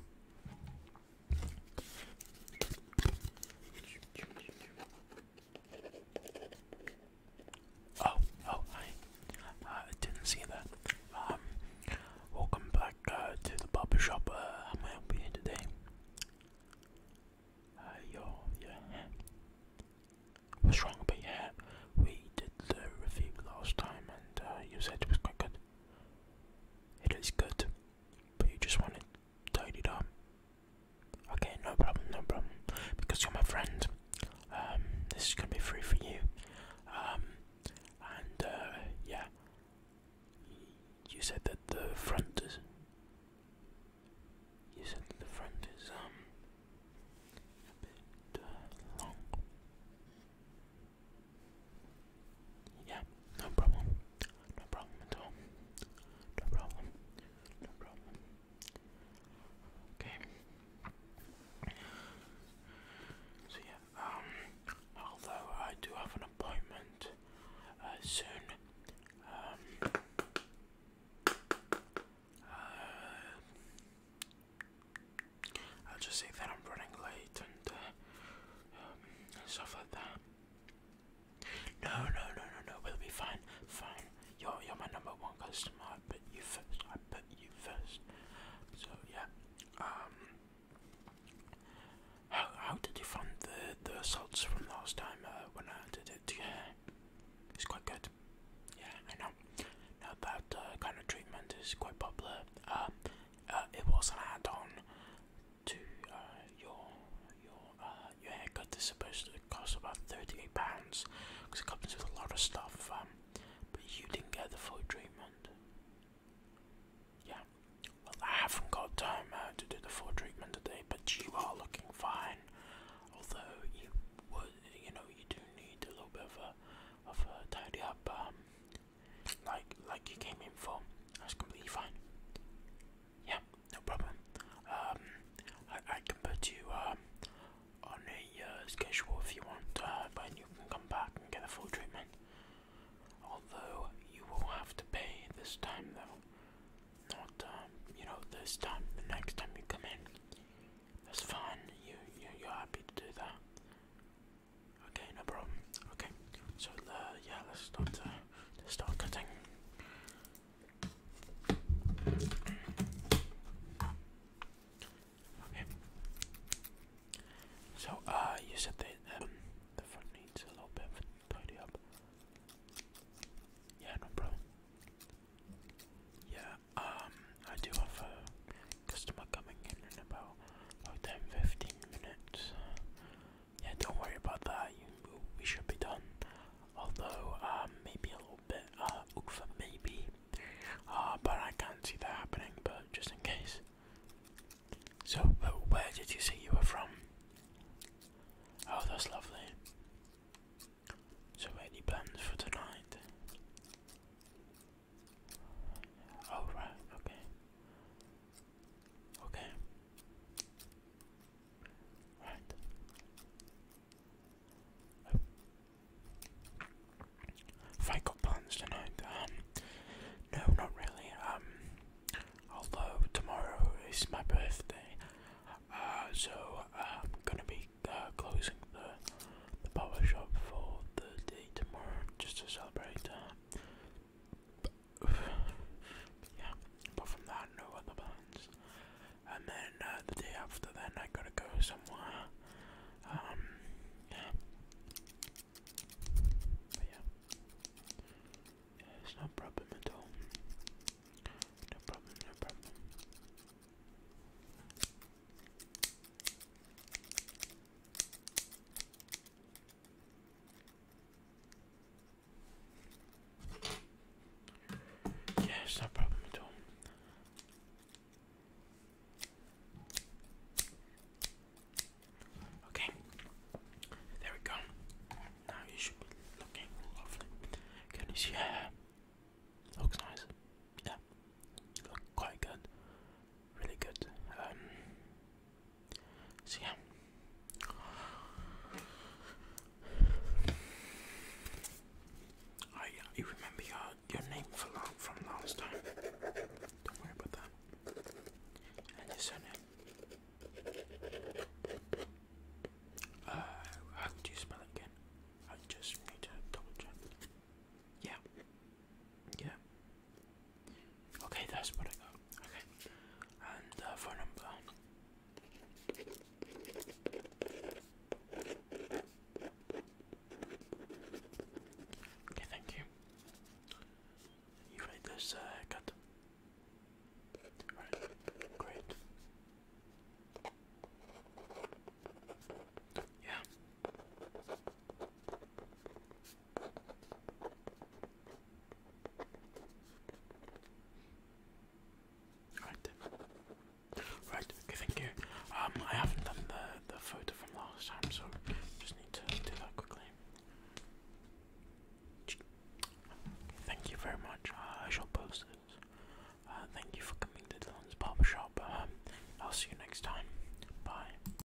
Oh, oh, uh, I didn't see that. Um, welcome back uh, to the barber shop. Uh, how may I help you today? Uh, your, your What's wrong with We did the review last time and you said it was quite good. It is good, but you just want it tidied up. Okay, no problem, no problem. Because you're my friend, um, this is gonna be free for you. Um, and uh, yeah, you said that the front is. You said that the front is um yeah, no problem. No problem at all. No problem. No problem. Okay. So yeah, um although I do have an appointment uh, soon, um uh, I'll just say that I'm running late and uh, um, stuff like that. No, no, no, no, no. We'll be fine. Fine. You're you're my number one customer. But you first. I put you first. So yeah. Um. How how did you find the the salts from last time uh, when I did it? Yeah, it's quite good. Yeah, I know. Now that uh, kind of treatment is quite popular. Um, uh, uh, it was an add-on to uh, your your uh, your haircut. It's supposed to cost about thirty-eight pounds because it comes with a lot of stuff. Um, but you didn't get the full treatment. Yeah. Well, I haven't got time uh, to do the full treatment today, but you are looking fine. Although you would, you know, you do need a little bit of a of a tidy up. Um, like like you came in for. That's completely fine. Yeah, no problem. Um, I, I can put you um, on a uh, schedule if you want, uh, but you can come back and get a full treatment. Although you will have to pay this time, though. Not um, you know this time. The next time you come in, that's fine. You you you're happy to do that. Okay, no problem. Okay, so uh, yeah, let's start. Uh, let's start cutting. Okay. So uh, you said that um, the front needs a little bit of tidy up. Yeah, no problem. Yeah, um, I do have a customer coming in in about about 10 minutes. Yeah, don't worry about that. we should be done. Although, um, maybe a little bit, uh, for maybe. Uh, but I can't see that happening, but just in case. So, where did you say you were from? Oh, that's lovely. So, any plans for tonight? Oh right, okay. Okay. Right. Oh. I got plans tonight? Um no not really. Um although tomorrow is my birthday. Uh so I'm gonna be uh, closing the the power shop for the day tomorrow just to celebrate uh, but, yeah, apart from that, no other plans. And then uh, the day after, then I gotta go somewhere. Um, yeah. yeah, it's no problem at all. No problem, no problem. Yeah, it's no problem at all. Okay, there we go. Now you should be looking lovely. Can you see Looks nice. Yeah, look quite good. Really good. Um, so yeah. I you remember your your name from last time. Don't worry about that. And your surname. Uh, how would you spell it again? I just need to double check. Yeah. Yeah. Okay, that's what I got. Okay, and phone number. Okay, thank you. You made this uh, cut. Right, great. Yeah. Right. Right, okay, thank you. Um, I haven't done the, the photo from last time, so just need to do that quickly. Thank you very much. Uh, I shall post this. Uh, thank you for coming to Dylan's barbershop. Um, I'll see you next time. Bye.